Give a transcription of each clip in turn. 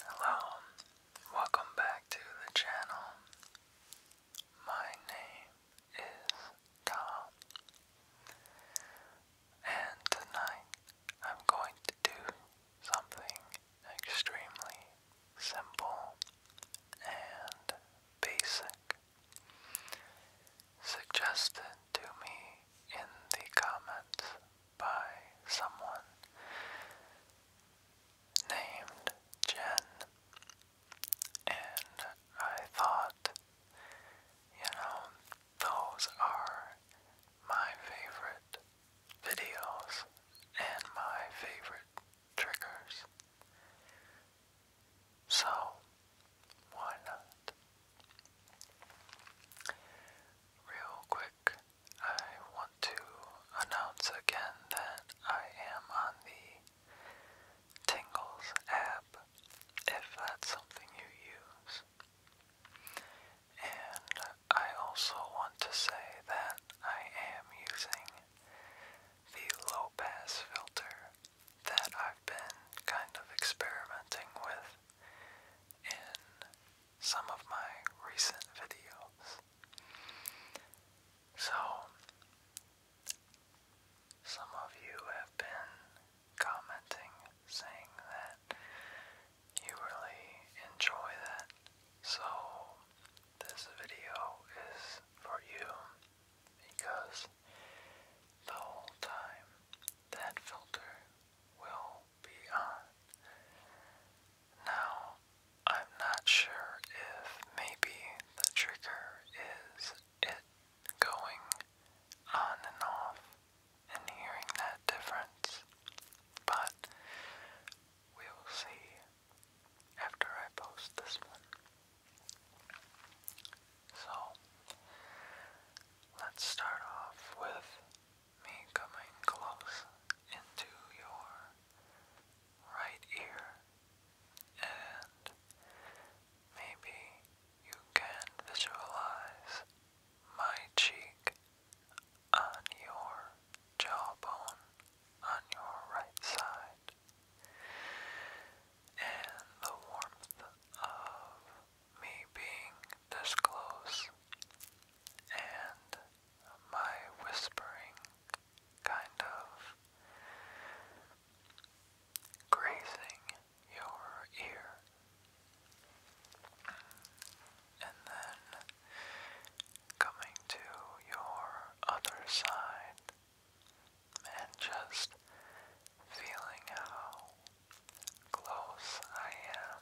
Hello, welcome back to the channel. My name is Tom, and tonight I'm going to do something extremely simple and basic, suggested to me in the comments by someone named Jen, and I thought, you know, those are my favorite videos and my favorite triggers. So, why not? Real quick, I want to announce again that I am on the Tingles app if that's something you use. And I also want to say that I am using the low pass filter that I've been kind of experimenting with in some of my recent videos. So, some of you have been commenting saying that you really enjoy that. So, this video is for you because the whole time that filter will beyond. Now, I'm not sure if maybe the trigger is it going on and off and hearing that difference, but we will see after I post this one. So, let's start off with me coming close into your right ear and maybe you can visualize my cheek on your jawbone on your right side and the warmth of me being this close and my whispering kind of grazing your ear. And then coming to your other side and just feeling how close I am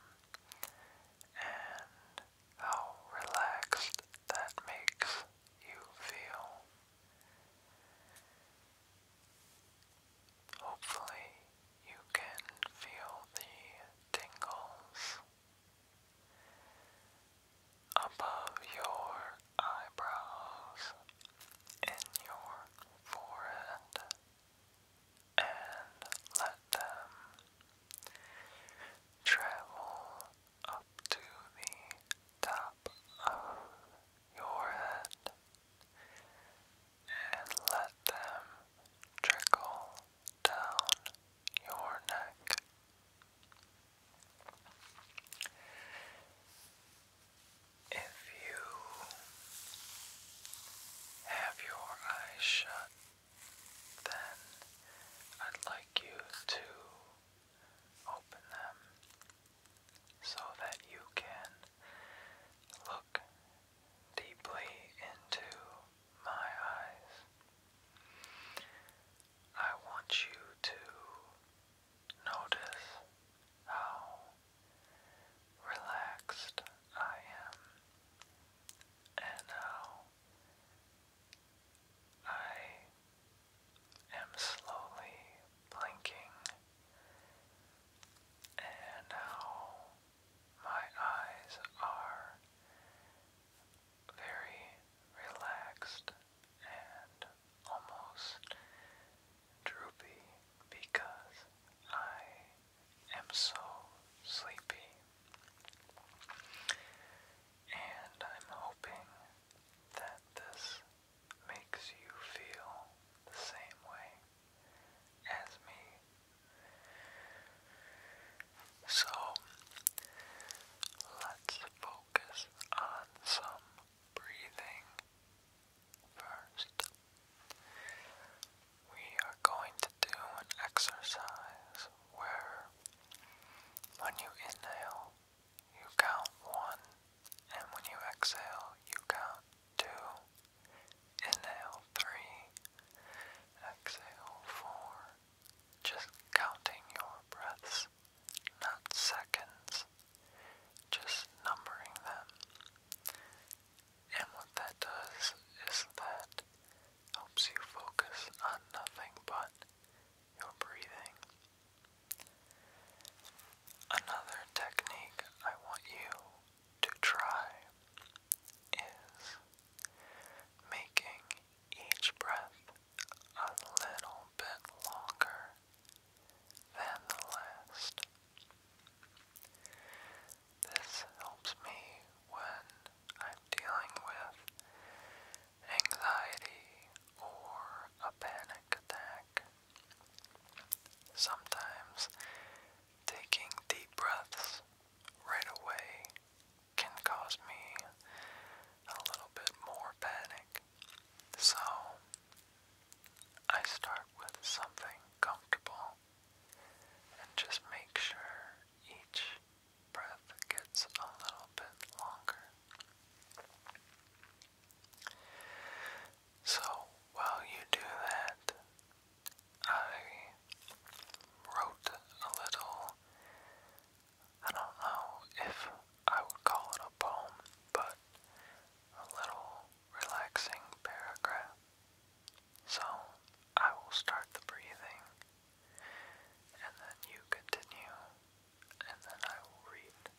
and how relaxed that makes you feel. Hopefully, you can feel the tingles above your eyebrows in your forehead and let them travel up to the top of your head and let them trickle down your neck. If you have your eyes shut then I'd like you to open them so that you can look deeply into my eyes. I want you to notice how relaxed I am and how I am slowly blinking, and now my eyes are very relaxed and almost droopy because I am so sleepy. And I'm hoping that this makes you feel the same way as me. So let's focus on some breathing first we are going to do an exercise where when you inhale, you count one, and when you exhale, you count two. Inhale three, exhale four. Just counting your breaths, not seconds, just numbering them. And what that does is that helps you focus on nothing but your breathing. Another technique I want you to try is making each breath a little bit longer than the last. This helps me when I'm dealing with anxiety or a panic attack. Sometimes taking deep breaths right away can cause me a little bit more panic. So I start with something comfortable and just make sure each breath gets a little bit longer. So while you do that, I wrote a little, I don't know if I would call it a poem, but a little relaxing paragraph. So I will start the breathing, and then you continue, and then I will read.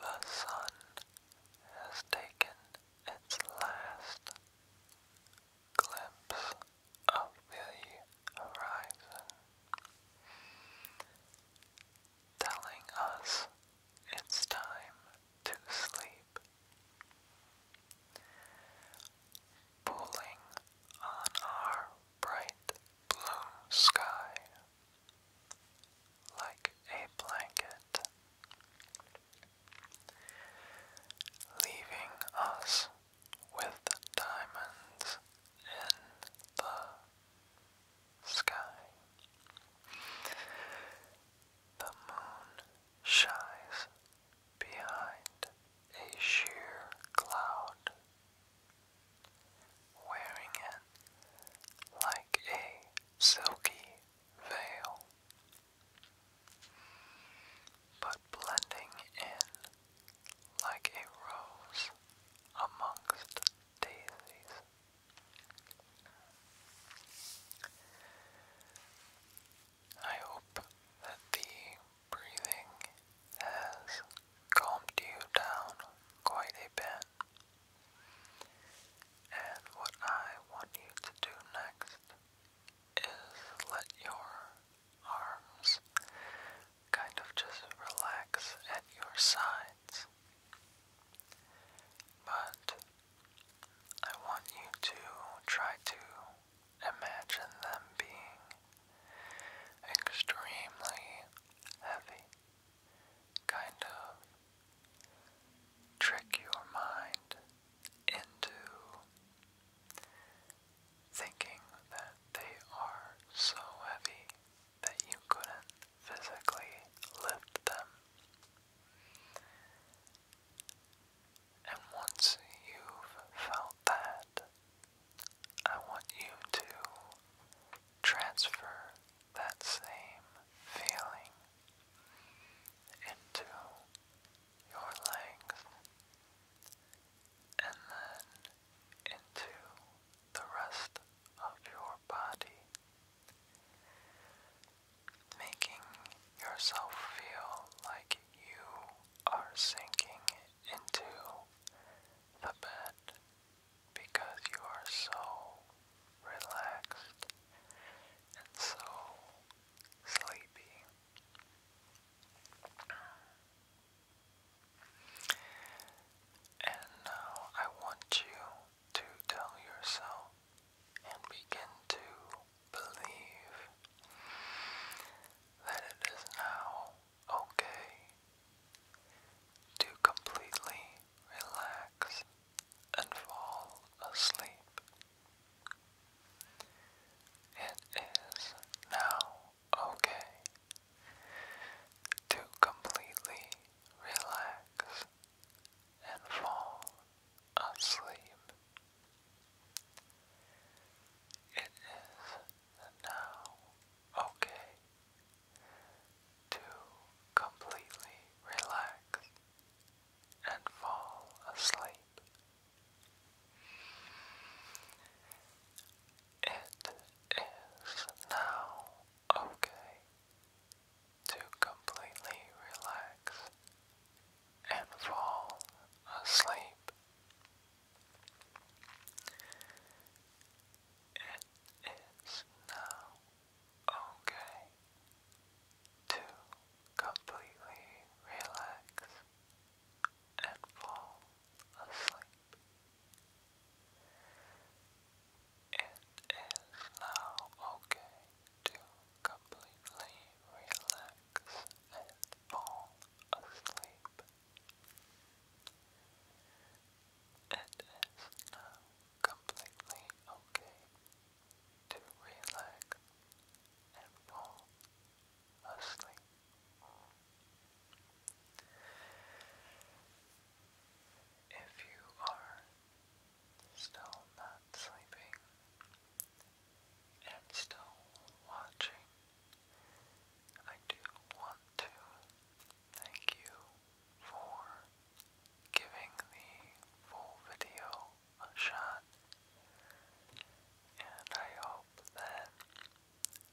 The sun has taken its last glimpse of the horizon, telling us it's time to sleep pulling on our bright blue sky like a blanket, leaving us with diamonds in the sky. The moon shies behind a sheer cloud, wearing it like a silky veil, but blending in like a rose amongst daisies. I hope that the breathing has calmed you down quite a bit. And what I want you to do next is let your arms kind of just relax at your sides. But I want you to try to imagine them being extremely heavy, kind of trick your mind into thinking that they are so heavy that you couldn't physically lift them. And once you've felt that, I want you to transfer that same feeling into your legs and then into the rest of your body making yourself feel like you are sinking into the bed because you are so relaxed and so sleepy. And now I want you to tell yourself and begin to believe that it is now okay to completely relax and fall asleep. It is now okay to completely relax and fall asleep. It is now okay to completely relax and fall asleep. It is now okay to completely relax and fall asleep. It is now okay to completely relax and fall asleep. It is now okay to completely relax and fall asleep. It is now completely okay to relax and fall asleep. If you are still not sleeping, and still watching. I do want to thank you for giving the full video a shot, and I hope that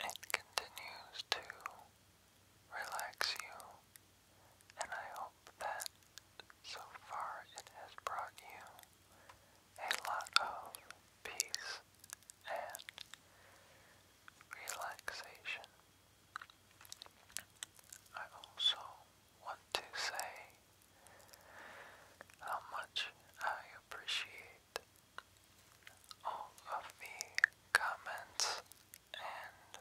it continues to relax you, and I hope that so far it has brought you a lot of peace and relaxation. I also want to say how much I appreciate all of the comments and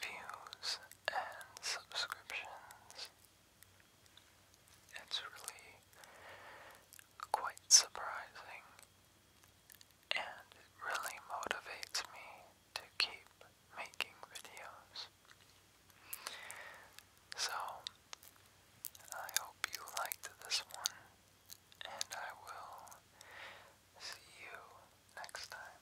views and subscriptions it's really quite surprising and it really motivates me to keep making videos. So, I hope you liked this one and I will see you next time.